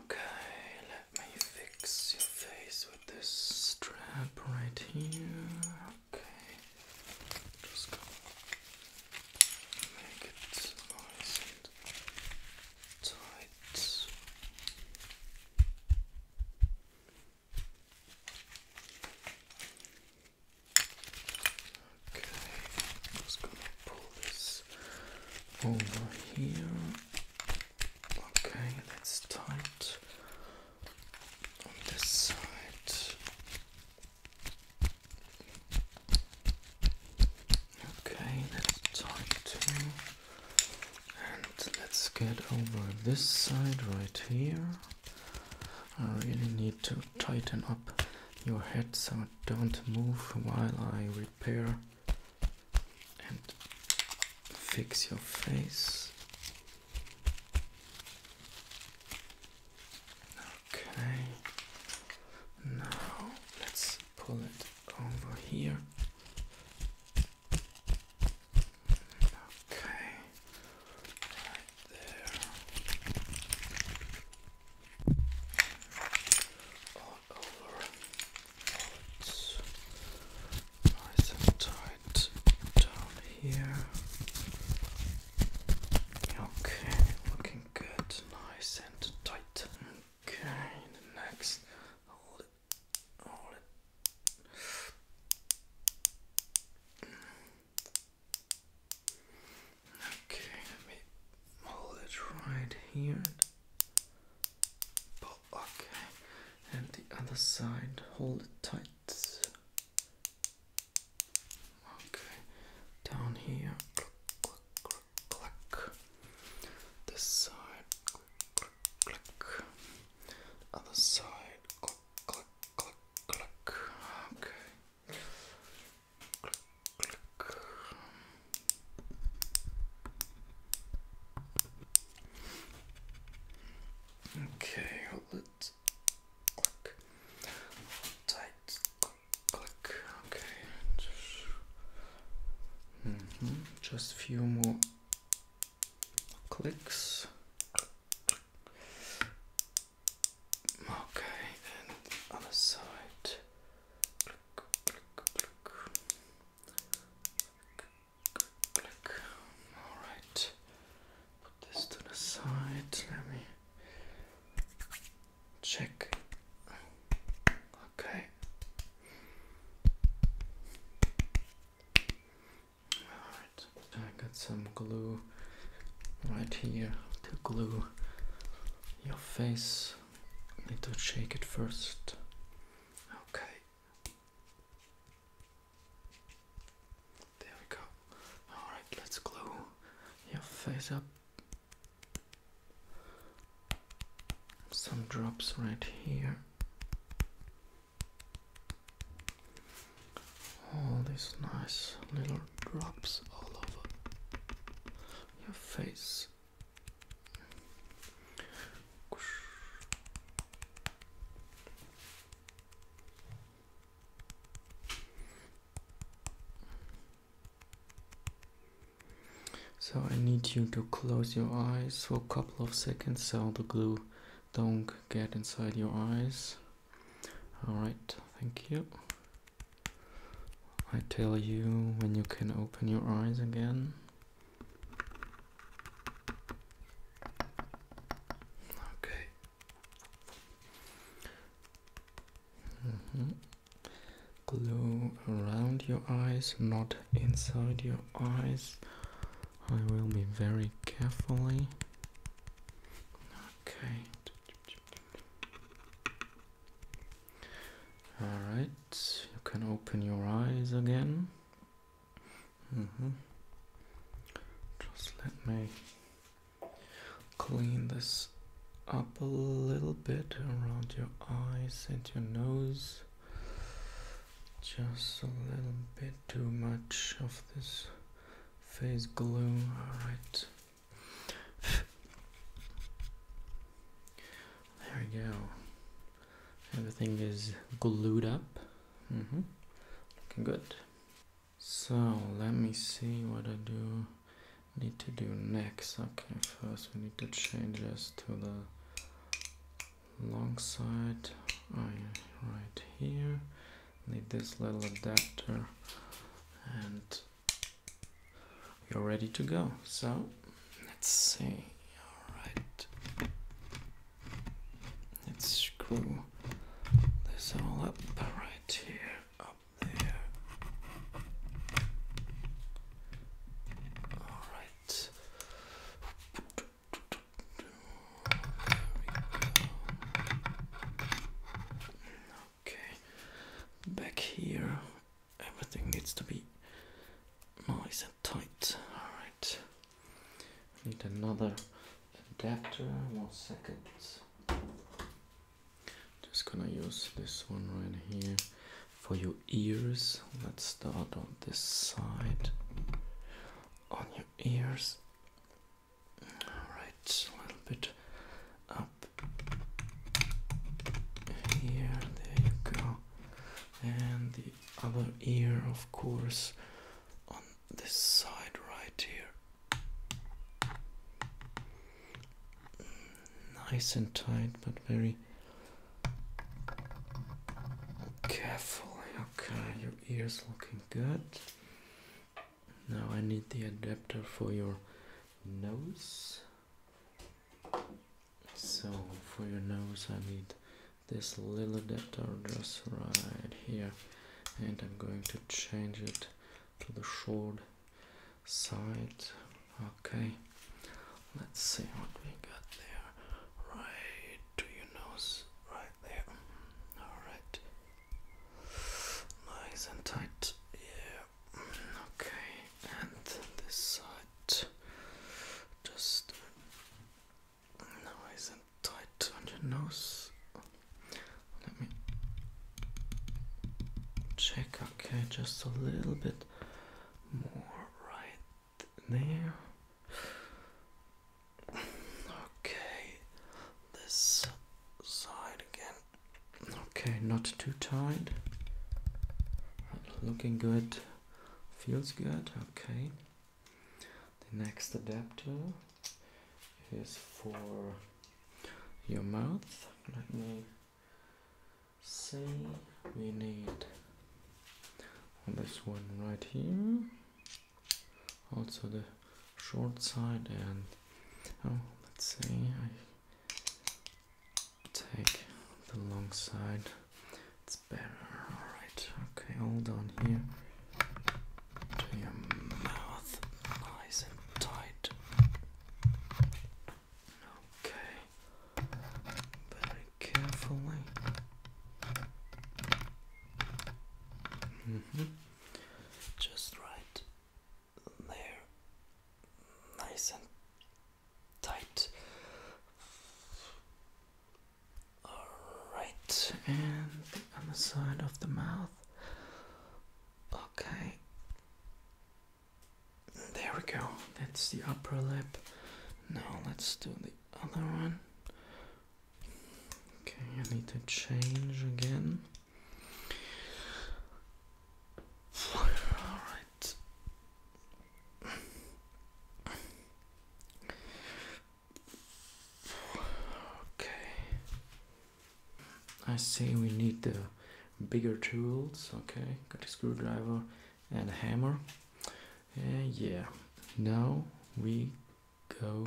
Okay, let me fix your face with this strap right here. Okay, just go make it nice and tight. Okay, just going pull this over here. Okay, let's tight this side. Okay, that's tight too. And let's get over this side right here. I really need to tighten up your head so don't move while I repair and fix your face. Okay, now let's pull it over here. Okay, right there. All over nice and tight down here. Okay, looking good, nice and tight. Okay, next hold it, hold it. Okay, let me hold it right here okay, and the other side, hold it tight. Okay, down here, This side, Other side, Okay, Okay, hold Click. Tight. Click. Okay. Just, mm -hmm. Just few more clicks. Okay, and other side. All right. Put this to the side. Let me check. Okay. All right. I got some glue right here to glue your face need to shake it first. Okay. There we go. Alright, let's glue your face up. Some drops right here. All these nice little drops all over your face. So I need you to close your eyes for a couple of seconds so the glue don't get inside your eyes. Alright, thank you. I tell you when you can open your eyes again. Okay. Mm -hmm. Glue around your eyes, not inside your eyes. I will be very carefully. Okay. All right, you can open your eyes again. Mm-hmm. Just let me clean this up a little bit around your eyes and your nose. Just a little bit too much of this face glue. All right. There we go. Everything is glued up. Mm -hmm. Looking good. So let me see what I do need to do next. Okay, first we need to change this to the long side. Oh, right here. Need this little adapter and you're ready to go. So let's see. All right, let's screw this all up right here, up there. All right. Okay, back here everything needs to be nice and tight. Alright, need another adapter. One second. Just gonna use this one right here for your ears. Let's start on this side on your ears. Alright, a little bit up here. There you go and the other ear, of course, on this side right here. Nice and tight, but very careful. Okay, your ear's looking good. Now I need the adapter for your nose. So for your nose, I need this little adapter just right here, and I'm going to change it to the short side. Okay, let's see what we got there. Right to your nose, right there. All right, nice and tight. Yeah. Okay, and this side just nice and tight on your nose. Let me check. Okay, just a little bit more right there. Okay, this side again. Okay, not too tight. Looking good feels good okay the next adapter is for your mouth let me see we need this one right here also the short side and oh let's see take the long side. It's better. Alright, okay, Hold on here your mouth, nice and tight. Okay, very carefully. Mm -hmm. Just right there, nice and tight. Alright, and on the side of the mouth. Okay. There we go. That's the upper lip. Now let's do the other one. Okay, I need to change again. Alright, Okay. I see. we need the bigger tools. Okay, got a screwdriver and a hammer. And yeah, now we go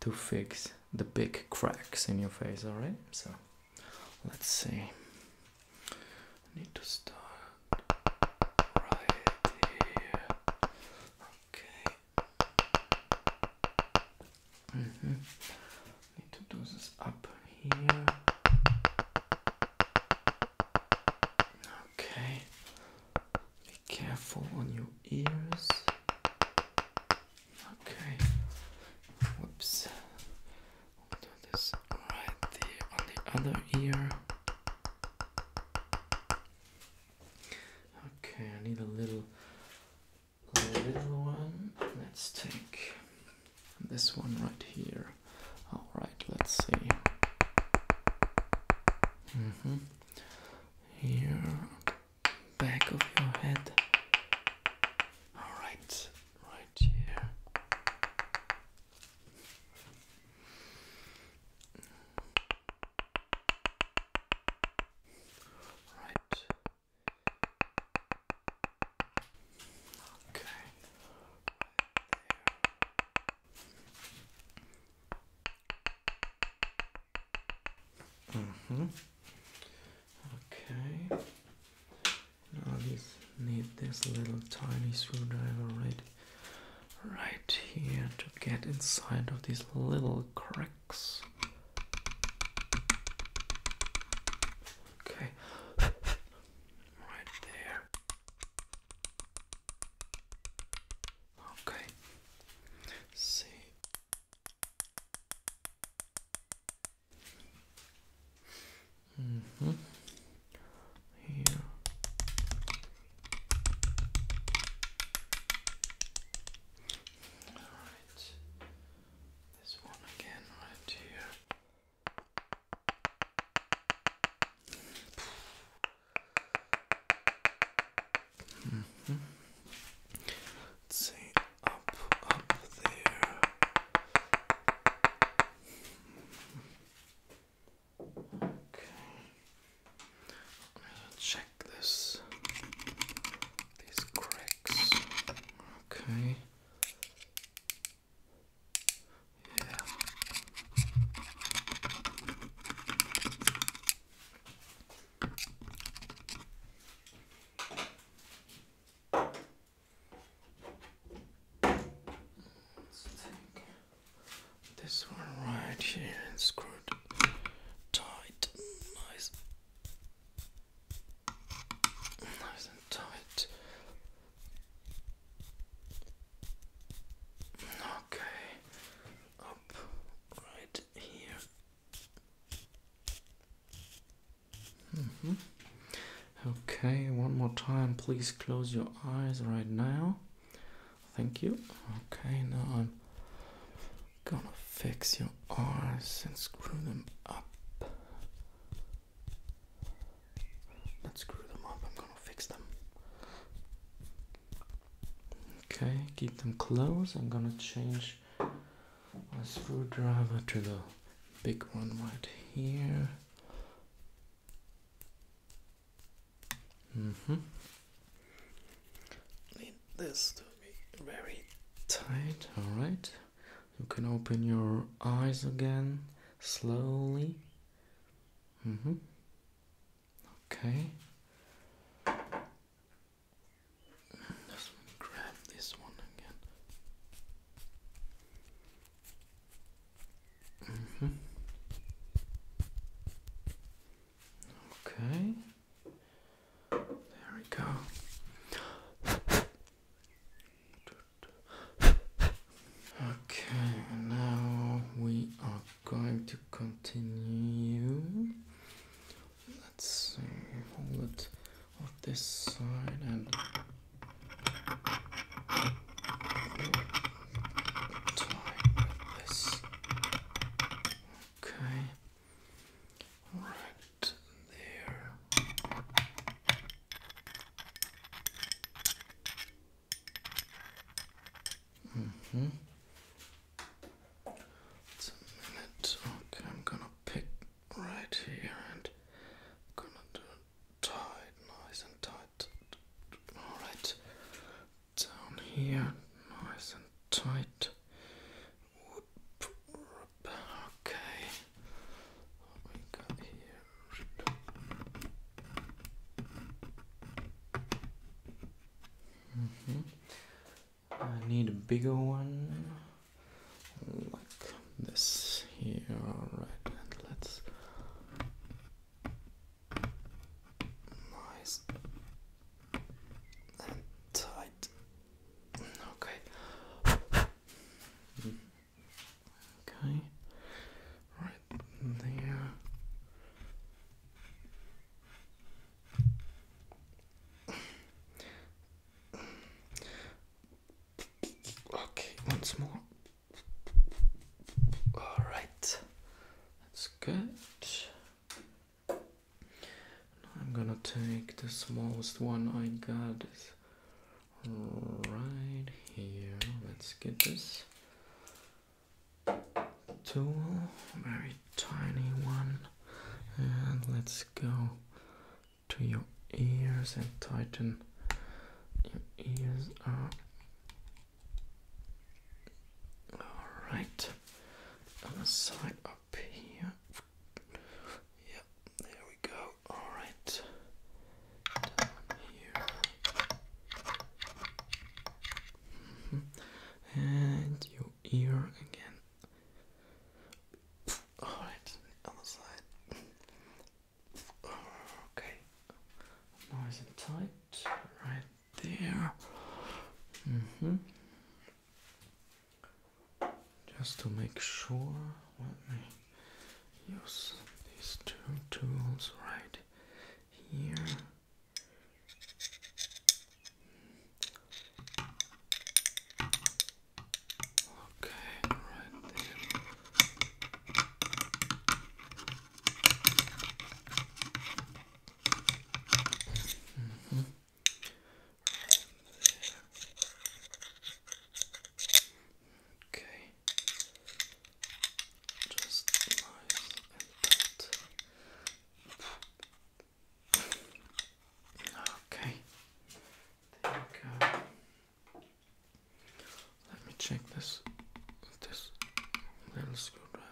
to fix the big cracks in your face, alright? So let's see need to start right here. Okay. -hmm. Need to do this up here. Okay. Be careful on your ears. Okay. Whoops do this right there on the other ear. Okay, I need a little little one. Let's take this one right here. Alright, let's see. Mm -hmm. Here, back of your head. Alright, right here. Right. Okay. Right there. Mm-hmm. Okay. Now oh, just need this little tiny screwdriver right right here to get inside of these little cracks. Okay. right there. Okay. See. Mm -hmm. Here. All right. This one again, right here. Mm -hmm. Let's see up, up there. Okay. Let me check this. These cracks. Okay. Yeah this one right here and tight. Nice. Nice and tight. Okay. Up right here. -hmm. Okay, one more time. Please close your eyes right now. Thank you. Okay, now I'm gonna fix your eyes and screw them up. Let's screw them up. I'm gonna fix them. Okay, keep them closed. I'm gonna change my screwdriver to the big one right here. Mm-hmm. Need this to be very tight, alright. You can open your eyes again slowly. Mm-hmm. Okay. grab this one again. Okay. There we go. Okay, now we are going to continue. Let's see, hold it on this side and time with Okay, right there. Mm hmm. It's a minute. Okay, I'm gonna pick right here and gonna do tight, nice and tight. Alright, down here, nice and tight. Okay, what we got here? Mm -hmm. I need a bigger one like this here, alright, let's Nice and tight. Okay. okay. Right there. Okay, once more. All right, that's good. I'm gonna take the smallest one I got right here. Let's get this tool, very tiny one, and let's go to your ears and tighten your ears up all right, on side up here. Yep, there we go. All right, here. Mm-hmm. And your ear again. All right, other side. Okay, nice and tight right there. Mm hmm Just to make sure, let me use these two tools right here. Okay, right there. Mm -hmm. Okay. Just nice and tight. Okay. There you go. Let me check this with this little screwdriver.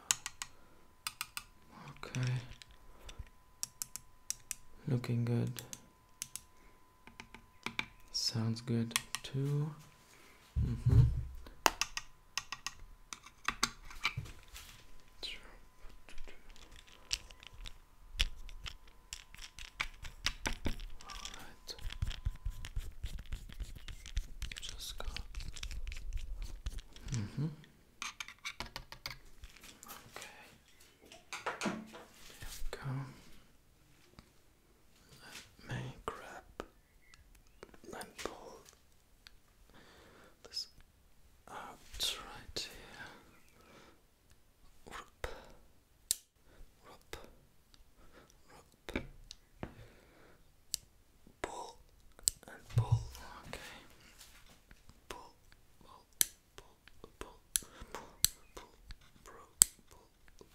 Okay. Looking good. Sounds good too. Mm -hmm. Just go. Mm -hmm. Okay. There we go. Let me grab and pull this out right here. Whoop pull and pull. Okay, pull, pull, pull, pull, pull, pull,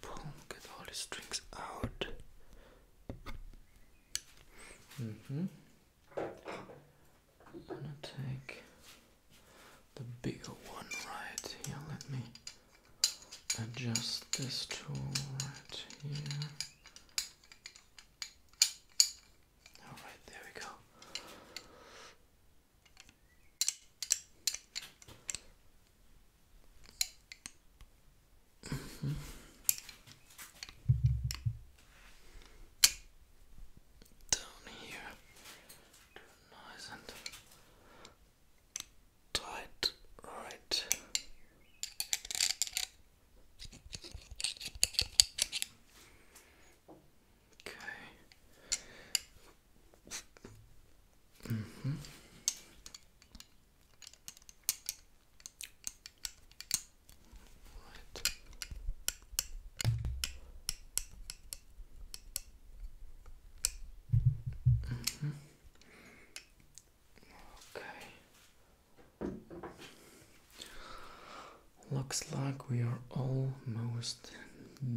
pull, pull, Get all the strings out. hmm. gonna take the bigger one right here. Let me adjust this tool right here. Alright, there we go. Mm-hmm. Down here, tight. All right. Okay. Mm -hmm. Right. Mm -hmm. Okay. Looks like we are almost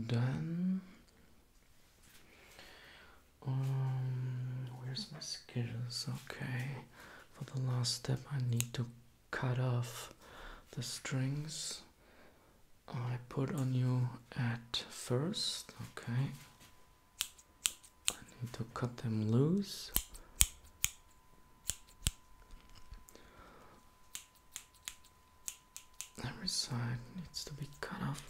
done. Um, where's my scissors? Okay. For the last step, I need to cut off the strings I put on you at first. Okay. I need to cut them loose. Every side needs to be cut off.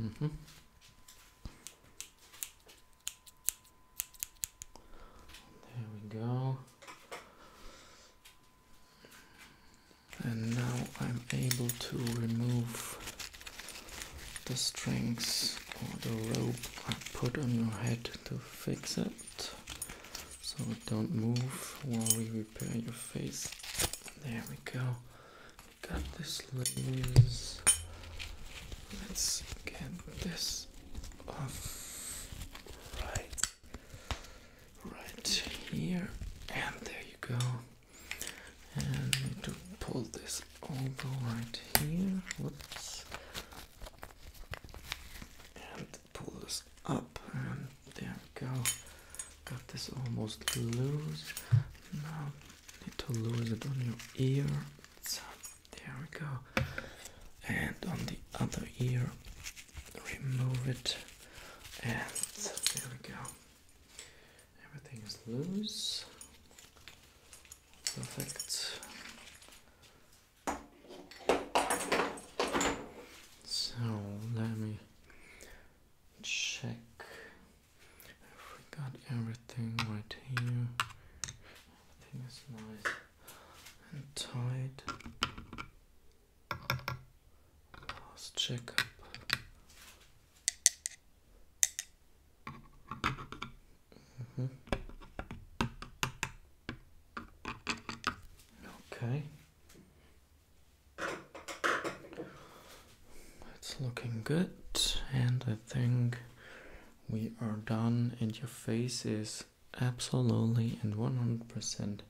Mm -hmm. There we go and now I'm able to remove the strings or the rope I put on your head to fix it so it don't move while we repair your face. There we go. got this loose. Let's get this off right right here and there you go need to pull this over right here. Whoops. And pull this up, and there we go. Got this almost loose. Now need to lose it on your ear. So there we go. And on the other ear, remove it, and there we go. Everything is loose. Perfect. So let me check if we got everything right here. Everything is nice and tight. Let's check up. Mm-hmm. Okay. It's looking good, and I think we are done, and your face is absolutely and 100%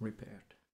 repaired.